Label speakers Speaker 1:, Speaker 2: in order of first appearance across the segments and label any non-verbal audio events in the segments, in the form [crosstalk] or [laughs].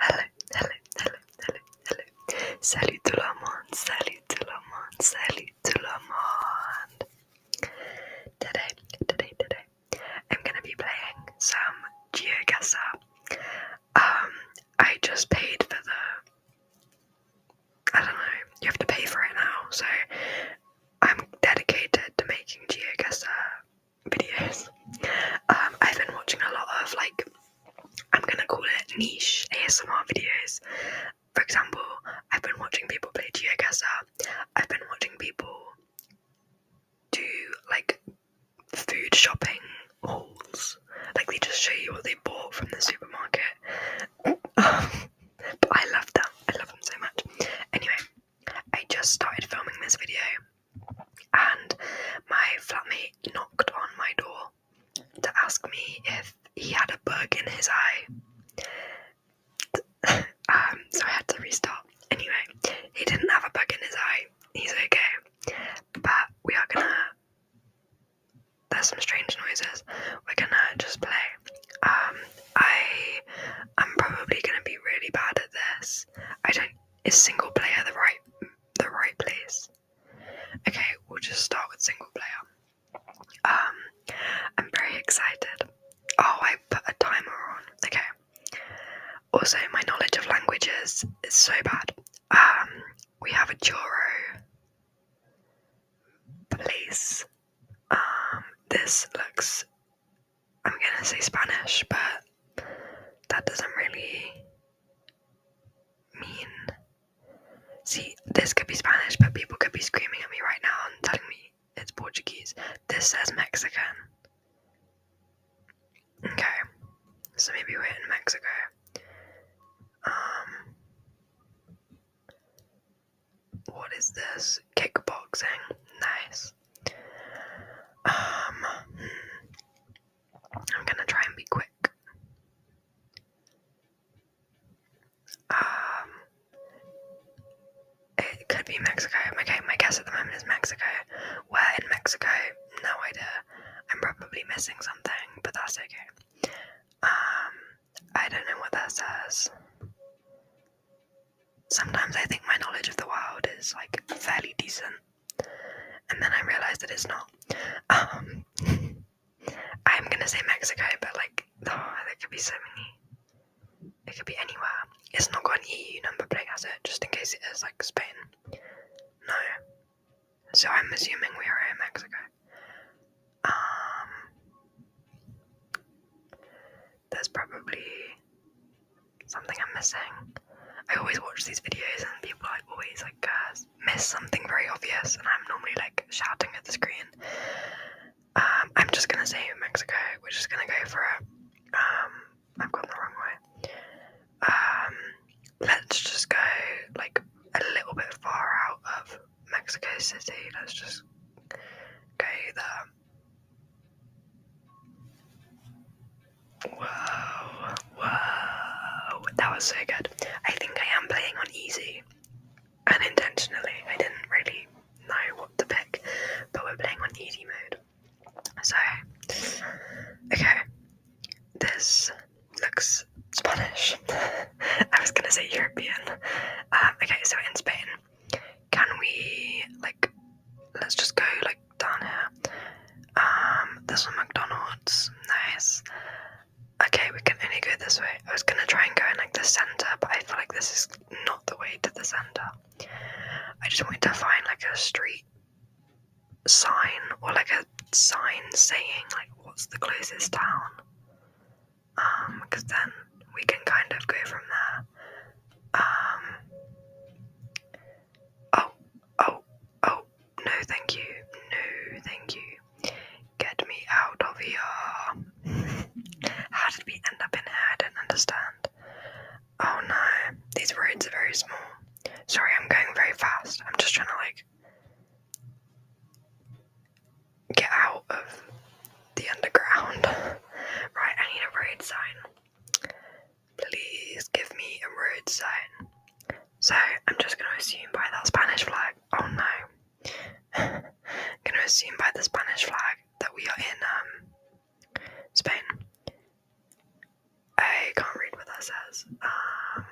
Speaker 1: Hello, hello, hello, hello, hello. Salut tout le monde, salut tout le monde, salut tout le monde. Today, today, today, I'm gonna be playing some GeoGuessr. Um, I just paid for the. I don't know, you have to pay for it now, so I'm dedicated to making GeoGuessr videos. Um, I've been watching a lot of like I'm gonna call it niche ASMR videos. For example, I've been watching people play geoguessr. I've been watching people do like food shopping hauls. Like they just show you what they bought from the supermarket. Um, but I love them. I love them so much. Anyway, I just started filming this video and my flatmate knocked on my door to ask me if he had a bug in his eye. [laughs] um, so I had to restart. Anyway, he didn't have a bug in his eye. He's okay. But we are gonna. There's some strange noises. We're gonna just play. Um, I am probably gonna be really bad at this. I don't is single player the right the right place? Okay, we'll just start with single player. Um, I'm very excited. Oh, I put a timer on. Okay. Also, my knowledge of languages is so bad. Um, we have a Joro place. Um, this looks I'm gonna say Spanish, but that doesn't really mean. See, this could be Spanish, but people could be screaming at me right now and telling me it's Portuguese. This says Mexican. Okay, so maybe we're in Mexico. Um, what is this? Kickboxing. Nice. Um, I'm gonna try and be quick. Um, it could be Mexico. My, my guess at the moment is Mexico. Where in Mexico? No idea. I'm probably missing something, but that's okay. Um, I don't know what that says sometimes I think my knowledge of the world is like fairly decent, and then I realize that it's not. Um, [laughs] I'm gonna say Mexico, but like, there could be so many. It could be anywhere. It's not got an EU number plate, has it? Just in case it is like Spain. No. So I'm assuming we are in Mexico. Um, there's probably something I'm missing. I always watch these videos and people like always like miss something very obvious, and I'm normally like shouting at the screen. Um, I'm just gonna say Mexico. We're just gonna go for it. Um, I've gone the wrong way. Um, let's just go like a little bit far out of Mexico City. Let's just go there. Wow, wow, that was so good. I think I am playing on easy unintentionally. I didn't really know what to pick, but we're playing on easy mode. So, okay, this looks Spanish. [laughs] I was gonna say European. Um, okay, so in Spain, can we like let's just go like down here um there's a mcdonald's nice okay we can only go this way i was gonna try and go in like the center but i feel like this is not the way to the center i just want to find like a street sign or like a sign saying like what's the closest town um because then we can kind of go from there um, oh, oh, oh, no, thank you. No, thank you. Get me out of here. [laughs] How did we end up in here? I don't understand. Oh no, these roads are very small. Sorry, I'm going very fast. I'm just trying to like get out of the underground. [laughs] right, I need a road sign. Please give me a road sign. So I'm just gonna assume by that Spanish flag. Oh no. I'm [laughs] gonna assume by the Spanish flag that we are in um Spain. I can't read what that says. Um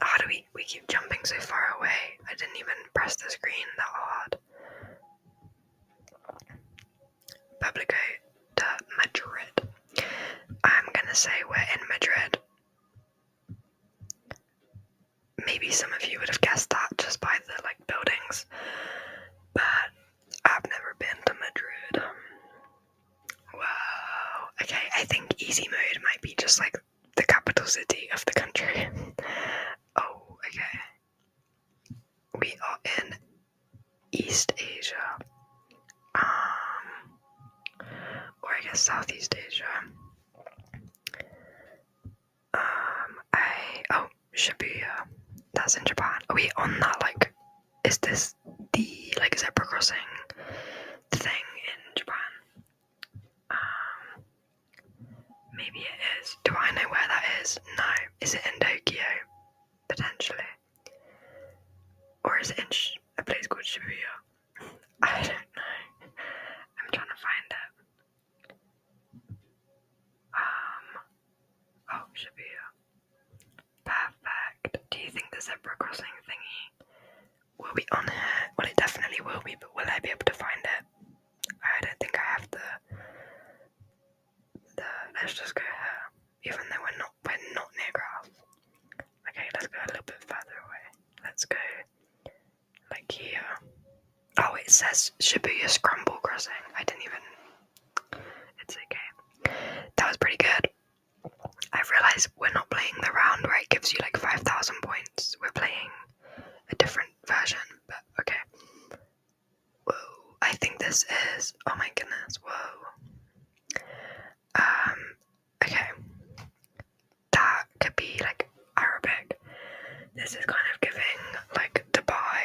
Speaker 1: how do we we keep jumping so far away? I didn't even press the screen that hard. Publico to Madrid. I'm gonna say we're in Madrid. Maybe some of you would have guessed that just by the like buildings, but I've never been to Madrid. Wow. Okay, I think easy mode might be just like the capital city of the country. [laughs] oh, okay we are in East Asia, um, or I guess Southeast Asia. Um, I oh Shibuya, that's in Japan. Are we on that? Like, is this the like zebra crossing thing in Japan? Um, Maybe it is. Do I know where that is? No. Is it in Tokyo? Potentially. Or is it in a place called Shibuya? [laughs] I don't know. I'm trying to find it. Um. Oh, Shibuya. Perfect. Do you think the zebra crossing thingy will be on here? Well, it definitely will be, but will I be able to find it? I don't think I have the the let's just go here. Even though we're not we're not near grass. Okay, let's go a little bit further away. Let's go like here. Oh it says Shibuya Scramble Crossing. I didn't even it's okay. That was pretty good. I've realised we're not playing the round where it gives you like 5,000 points. We're playing a different version but okay. Whoa, I think this is. Oh my goodness, whoa. Um, okay. That could be like Arabic. This is kind of giving like Dubai,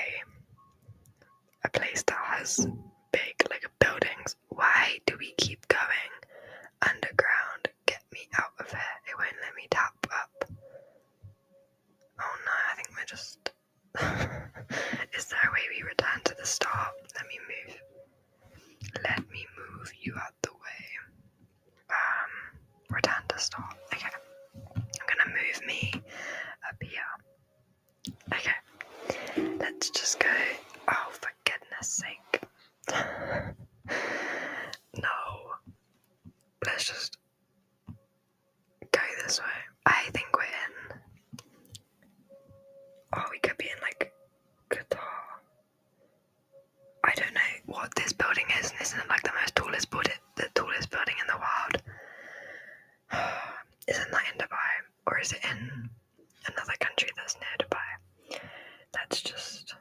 Speaker 1: a place that has big like buildings. Why do we keep going underground? get me out of here. It won't let me tap up. Oh no, I think we're just. [laughs] Is there a way we return to the start? Let me move. Let me move you out the way. Um, return to start. Okay. I'm gonna move me up here. Okay. Let's just go. Oh, for goodness sake. [laughs] no let's just go this way. I think we're in. Oh, we could be in like Qatar. I don't know what this building is, isn't it like the most tallest building, the tallest building in the world. [sighs] isn't that in Dubai, or is it in another country that's near Dubai? That's just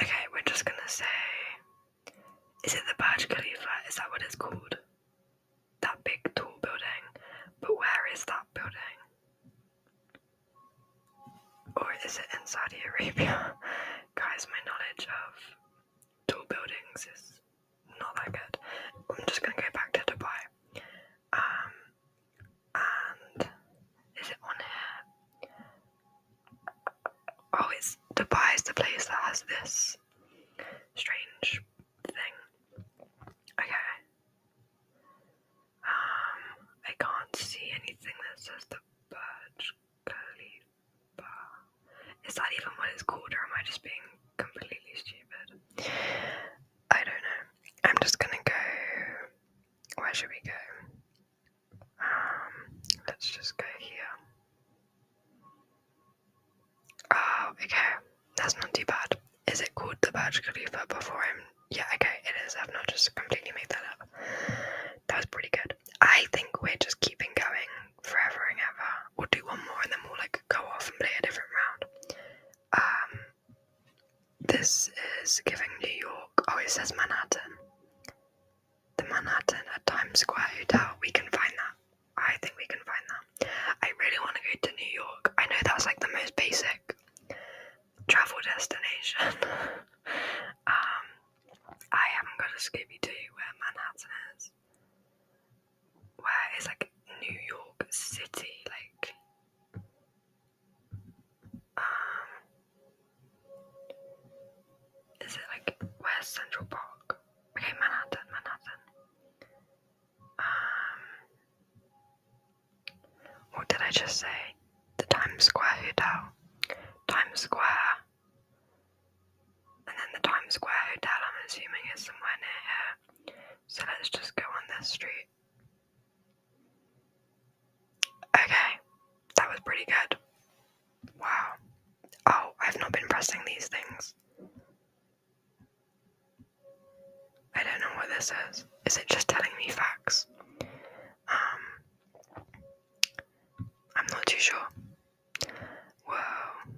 Speaker 1: Okay, we're just gonna say. Is it the Burj Khalifa? Is that what it's called? That big tall building. But where is that building? Or is it in Saudi Arabia? [laughs] Guys, my knowledge of tall buildings is not that good. I'm just gonna go back to Dubai. Um, and is it on here? Oh, it's Dubai is the place that has this strange thing. Okay. Um, I can't see anything that says the Burj Khalifa. Is that even what it's called, or am I just being completely stupid? I don't know. I'm just gonna go where should we go? Um, let's just go here. Oh, okay. That's not too bad. Is it called the Burj Khalifa before him? Yeah, okay, it is. I've not just completely made that up. That was pretty good. I think we're just keeping going forever and ever. We'll do one more and then we'll, like, go off and play a different round. Um, this is giving New York. Oh, it says Manhattan. The Manhattan at Times Square Hotel. We can find that. I think we can find that. I really want to go to New York. I know that's like the most basic travel destination. [laughs] um, I haven't got a Scooby to where Manhattan is. Where is like New York City, like um, is it like where's Central Park? Okay, Manhattan, Manhattan. Um, what did I just say? The Times Square Hotel, Times Square, and then the Times Square Hotel. I'm assuming is somewhere near here. So let's just go on this street. Okay, that was pretty good. Wow. Oh, I've not been pressing these things. I don't know what this is. Is it just telling me facts? Um, I'm not too sure. Whoa.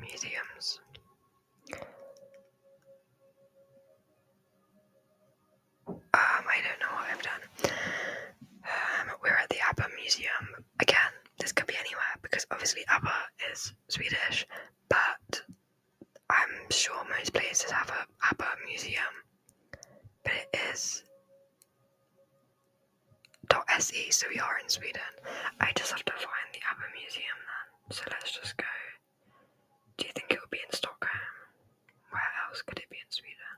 Speaker 1: Museums. Um, I don't know what I've done. Um, we're at the ABBA Museum. Again, this could be anywhere because obviously ABBA is Swedish, but I'm sure most places have a ABBA Museum. But it is .se, so we are in Sweden. I just have to find the ABBA Museum then. So let's just go do you think it would be in Stockholm? Where else could it be in Sweden?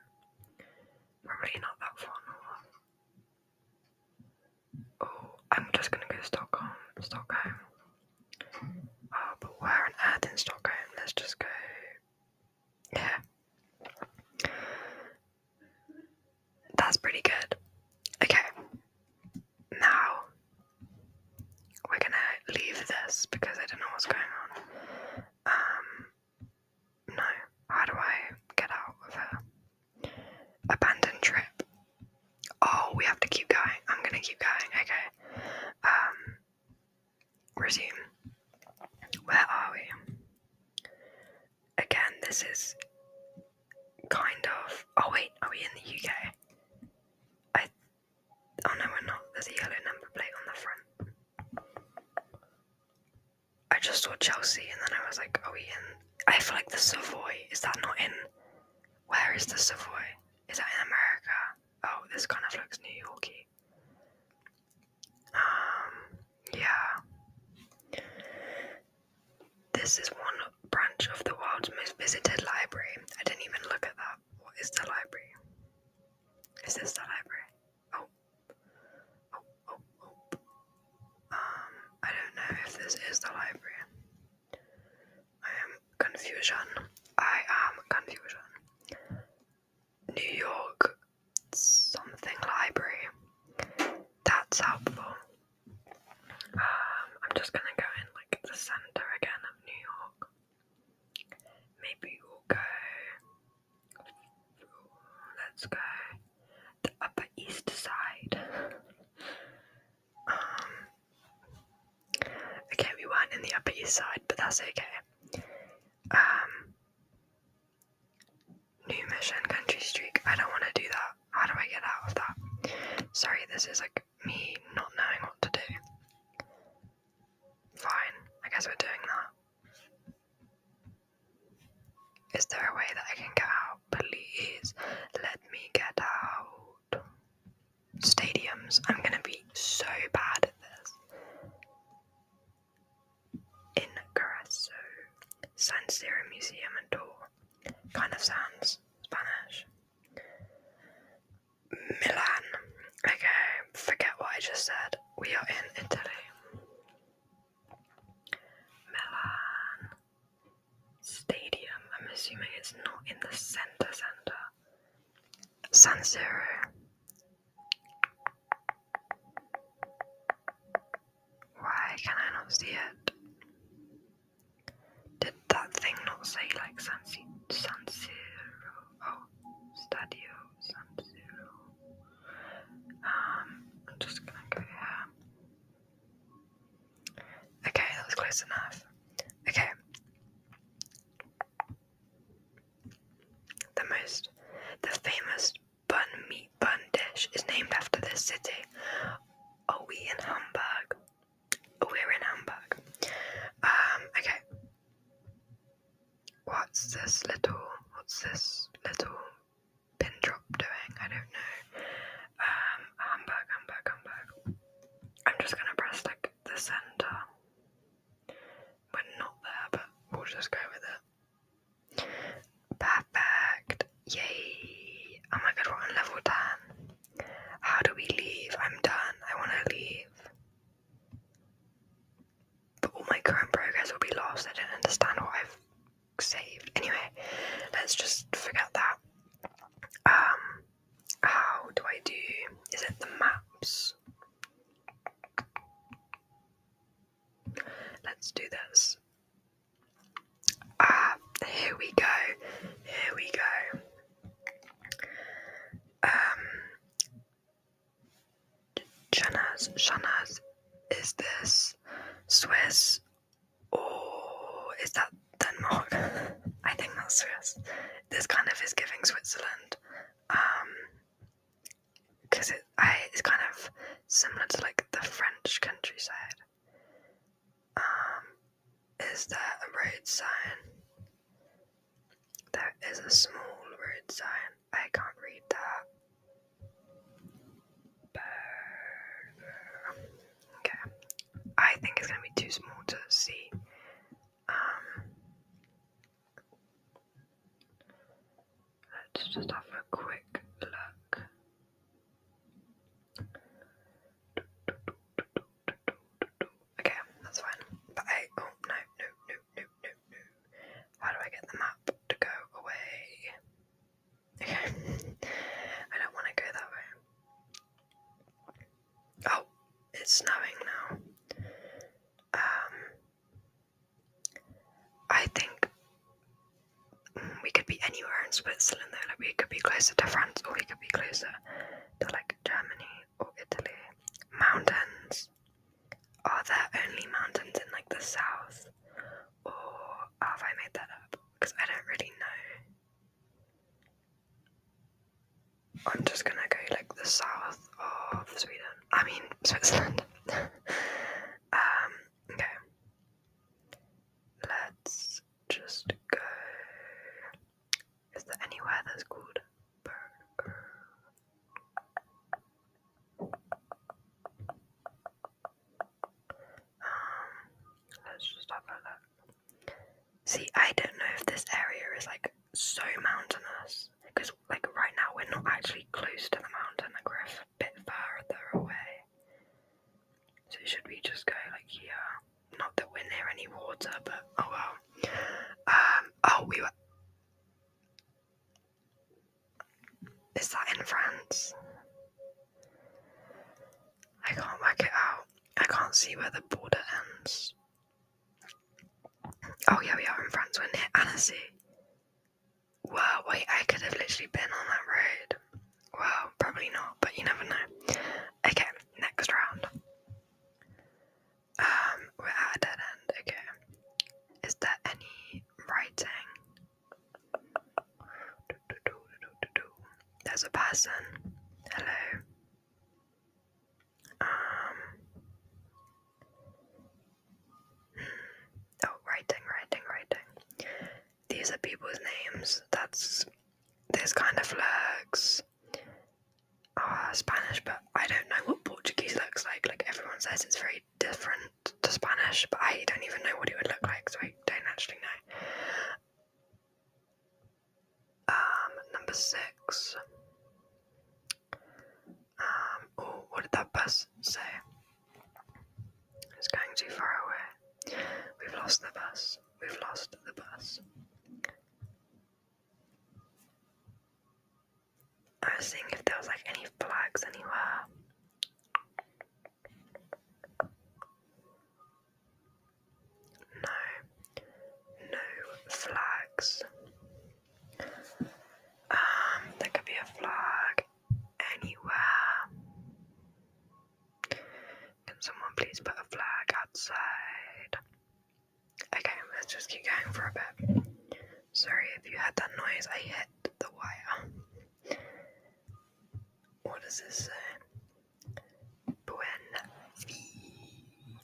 Speaker 1: Probably not that far Oh, I'm just gonna go to Stockholm. Stockholm. Oh, but where on earth in Stockholm? Let's just go. Yeah. That's pretty good. Okay. Now we're gonna leave this because I don't know what's going on. Um, no, how do I get out of here? Abandoned trip. Oh, we have to keep going. I'm gonna keep going. Okay. Um, resume. Where are we? Again, this is kind of. Oh wait, are we in the UK? I Oh no, we're not. There's a yellow number plate on the front. I just saw Chelsea and then I was like, are we in? I feel like the Savoy. Is that not in? Where is the Savoy? Is that in America? Oh, this kind of looks New Yorkie. Um, yeah. This is one branch of the world's most visited library. I didn't even look at that. What is the library? Is this the library? Oh. Oh, oh, oh. Um, I don't know if this is the library. I am confusion. I am confusion. New York something library. That's helpful. Um, I'm just gonna go in like the centre again of New York. Maybe we'll go. Let's go the Upper East Side. Um, okay, we weren't in the Upper East Side, but that's okay. Um, new Mission Country Street. I don't want to do that. How do I get out of that? Sorry, this is like me not knowing what to do. Fine, I guess we're doing that. Is there a way that I can get out? Please let me get out. Stadiums, I'm gonna be so bad at this. In Carrasso, San Siro Museum and Tour. Kind of sounds Spanish. Milan. Okay, forget what I just said. We are in Italy. Milan Stadium. I'm assuming it's not in the center center. San Siro. Why can I not see it? Did that thing not say like San, C San Siro? Oh, Stadio San Siro. Um, I'm just gonna go Okay, that was close enough. Okay. The most, the famous bun meat bun dish is named after this city. Are we in Hamburg? We're in Hamburg. Um, okay. What's this little, what's this little pin drop doing? I don't know. Um, Hamburg, Hamburg, Hamburg. I'm just gonna press like the center. We're not there, but we'll just go with it. Perfect. Yay. Oh my god, we're on level 10. How do we leave? I'm done. I want to leave. But all my current progress will be lost. I don't understand what I've saved. Anyway, let's just forget that. Um, how do I do? Is it the maps? Let's do this. Ah, here we go. Here we go. Um, Chanaz, Chanaz, is this Swiss or is that Denmark? [laughs] I think that's Swiss. This kind of is giving Switzerland. Um, because it, I, it's kind of similar to like the French countryside. Um, is there a road sign? There is a small road sign. I can't read that. Okay. I think it's going to be too small to see. Um, let's just have a quick look. Okay, that's fine. But I oh no no no no no How do I get the map to go away? Okay. [laughs] I don't want to go that way. Oh, it's snowing now. Um I think we could be anywhere in Switzerland though. Like we could be closer to France, or we could be closer to like Germany or Italy. Mountains. Are there only mountains in like the south, or have I made that up? Because I don't really know. I'm just gonna go like the south of Sweden. I mean Switzerland. [laughs] um, okay. Let's just go. Is there anywhere that's called burger? Um, let's just have a look. See, I don't know if this area is like so mountainous because, like, right now we're not actually close to the mountain, we're a bit further away. So should we just go like here? Not that we're near any water, but oh well. Um, oh, we were. Is that in France? I can't work it out. I can't see where the border ends. Oh yeah, we are in France. We're near Annecy. Wow, wait, I could have literally been on that road. Well, probably not, but you never know. Okay, next round. Um, we're at a dead end. Okay. Is there any writing? There's a person. Hello. Um. Hmm. Oh, writing, writing, writing these are people's names. That's this kind of looks ah, Spanish, but I don't know what Portuguese looks like. Like everyone says, it's very different to Spanish, but I don't even know what it would look like, so I don't actually know. Um, number six. Um, what did that bus say? It's going too far away. We've lost the bus. We've lost the bus. I was seeing if there was like any flags anywhere. No, no flags. Um, there could be a flag anywhere. Can someone please put a flag outside? Okay, let's just keep going for a bit. Sorry if you heard that noise, I hit the wire. What is this Buen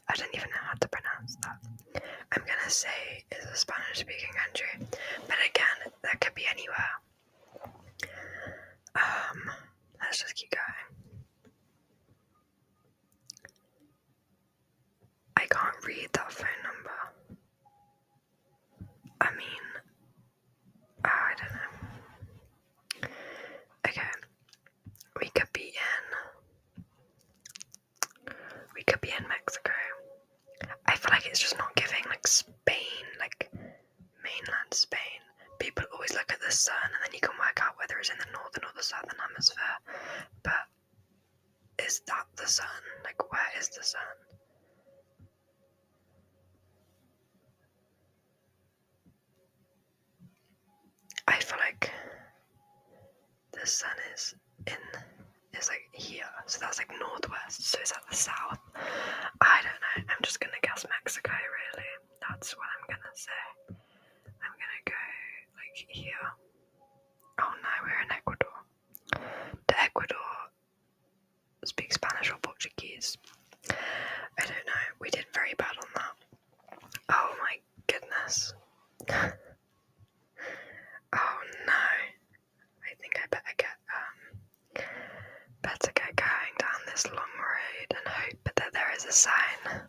Speaker 1: I don't even know how to pronounce that. I'm gonna say it's a Spanish speaking country, but again, that could be anywhere. Um, let's just keep going. I can't read that phone number. I mean, ah, I don't know. Okay, we could be in. We could be in Mexico. I feel like it's just not giving like Spain, like mainland Spain, people always look at the sun and then you can work out whether it's in the northern or the southern hemisphere. But is that the sun? Like, where is the sun? I feel like the sun is in is like here, so that's like northwest. So it's at the south? I don't know. I'm just gonna guess Mexico, really. That's what I'm gonna say. I'm gonna go like here. Oh no, we're in Ecuador. To Ecuador speak Spanish or Portuguese. I don't know. We did very bad on that. Oh my goodness. [laughs] oh no. I think I better get um Better get going down this long road and hope that there is a sign,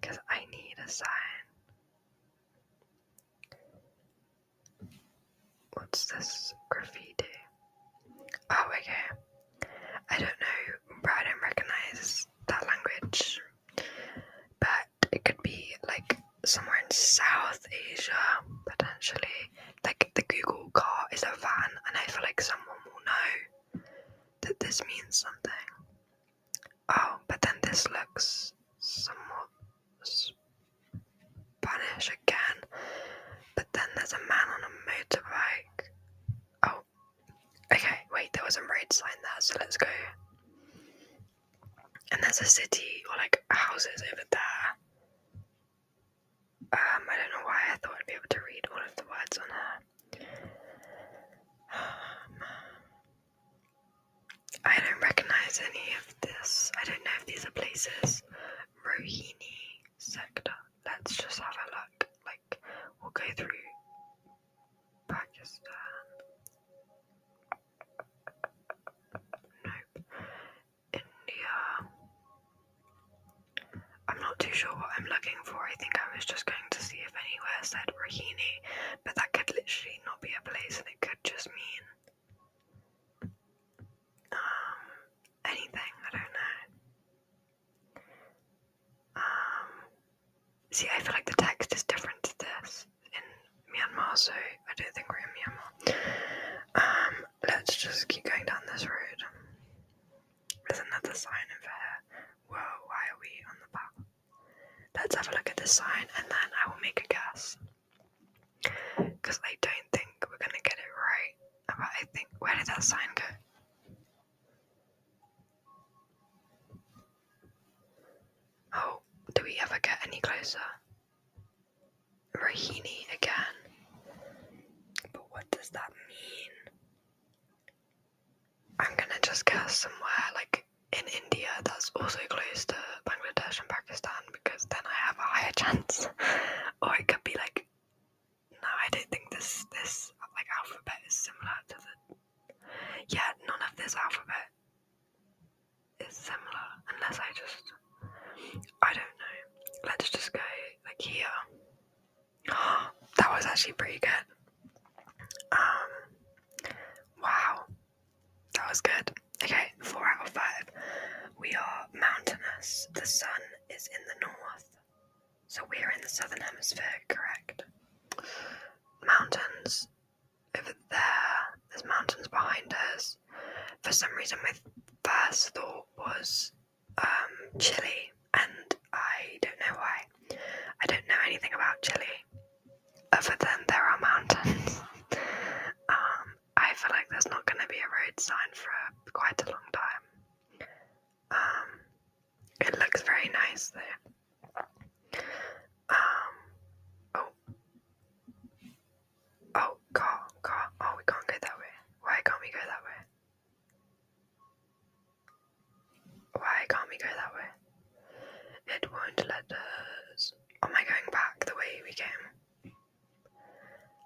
Speaker 1: because I need a sign. What's this graffiti? Oh, okay. I don't know, I don't recognize that language, but it could be like somewhere in South Asia, potentially like the Google car is a van, and I feel like someone will know that this means something. Oh, but then this looks somewhat Spanish again. But then there's a man on a motorbike. Oh, okay, wait, there was a red sign there, so let's go. And there's a city or like houses over there. Um, I don't know why I thought I'd be able to read all of the words on her. Um, I don't recognize any of this. I don't know if these are places. Rohini sector. Let's just have a look. Like, we'll go through Pakistan. Nope. India. I'm not too sure what I'm looking for. I think I was just going to see if anywhere said Rohini, but that could literally not be a place and it could just mean um anything, I don't know. Um see I feel like the text is different to this in Myanmar, so I don't think we're in Myanmar. Um let's just keep going down this road. There's another sign over here. Uh, whoa, why are we on the path? Let's have a look at this sign and then I will make a guess. Because I don't think we're going to get it right. But I think, where did that sign go? Oh, do we ever get any closer? Rohini again. But what does that mean? I'm gonna just guess somewhere like in India that's also close to Bangladesh and Pakistan because then I have a higher [laughs] chance. or it could be like no, I don't think this this like alphabet is similar to the yeah, none of this alphabet is similar, unless I just, I don't know. Let's just go like here. [gasps] that was actually pretty good. Um, wow, that was good. Okay, four out of five. We are mountainous. The sun is in the north, so we're in the southern hemisphere, correct? Mountains over there. There's mountains behind us for some reason my first thought was um, chili, and I don't know why. I don't know anything about Chile other than there are mountains. [laughs] Um, I feel like there's not going to be a road sign for quite a long time. Um, it looks very nice though. Um, oh. Oh, God, God. Oh, we can't go that way. Why can't we go that way? Why can't we go that way? It won't let us. Am I going back the way we came?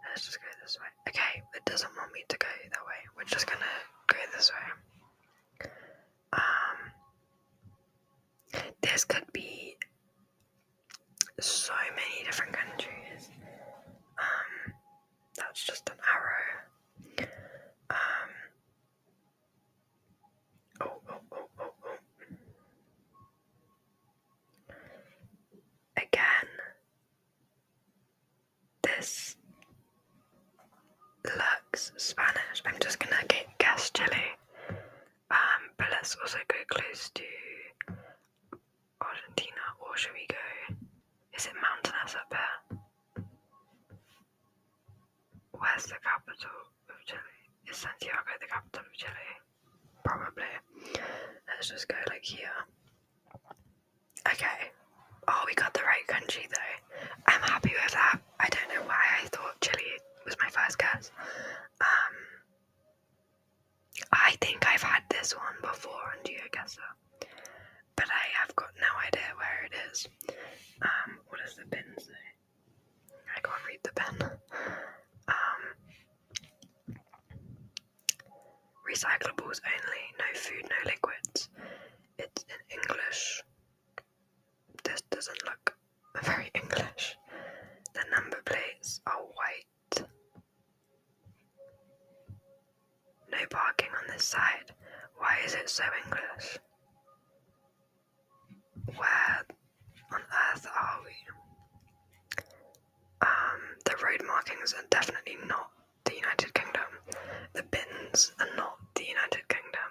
Speaker 1: Let's just go this way. Okay, it doesn't want me to go that way. We're just gonna go this way. Um, this could be so many different countries. that's just an arrow. oh, oh, oh, oh, oh. Again, this looks Spanish. I'm just gonna get guess Chile. Um, but let's also go close to Argentina, or should we go? Is it mountainous up there? Where's the capital of Chile? Is Santiago the capital of Chile? Probably. Let's just go like here. Okay. Oh, we got the right country though. I'm happy with that. I don't know why I thought Chile was my first guess. Um, I think I've had this one before and you guess so. but I have got no idea where it is. Um, what does the bin say? I can't read the bin. Um, recyclables only, no food, no liquids. It's in English. This doesn't look [laughs] very English. The number plates are white. No parking on this side. Why is it so English? Where on earth are we? Um, the road markings are definitely not the United Kingdom. The bins are not the United Kingdom.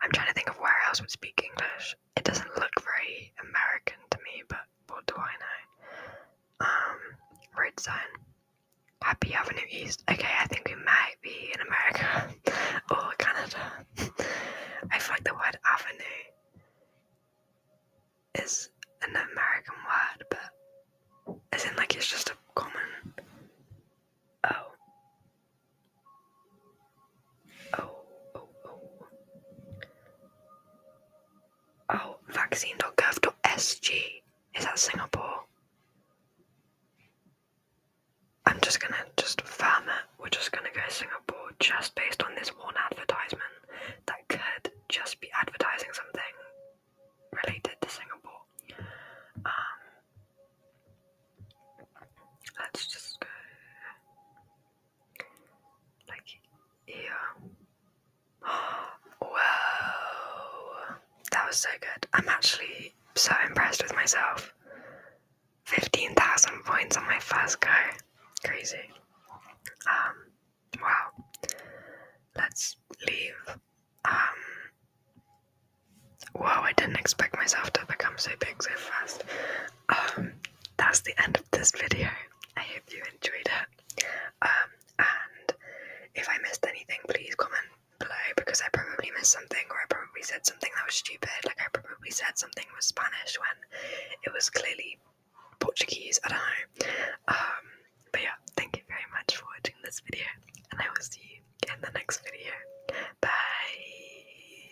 Speaker 1: I'm trying to think of where else would speak English it doesn't look very American to me, but what do I know? Um, road sign. Happy Avenue East. Okay, I think we might be in America [laughs] or Canada. [laughs] I feel like the word avenue is an American word, but as in like it's just a common. Oh, Oh, oh, oh. Oh, vaccine.gov.sg. Is that Singapore? I'm just gonna just firm it. We're just gonna go Singapore just based on this one advertisement that could just be advertising something related to Singapore. Um, let's just go like here. [gasps] Whoa, that was so good. I'm actually so impressed with myself. 15,000 points on my first go. Crazy. Um, wow. Let's leave. Um, wow, I didn't expect myself to become so big so fast. Um, that's the end of this video. I hope you enjoyed it. Um, and if I missed anything, please comment below because I probably missed something or I probably said something that was stupid. Like, I probably said something was Spanish when it was clearly Portuguese. I don't know. Um, but yeah, thank you very much for watching this video, and I will see you in the next video. Bye.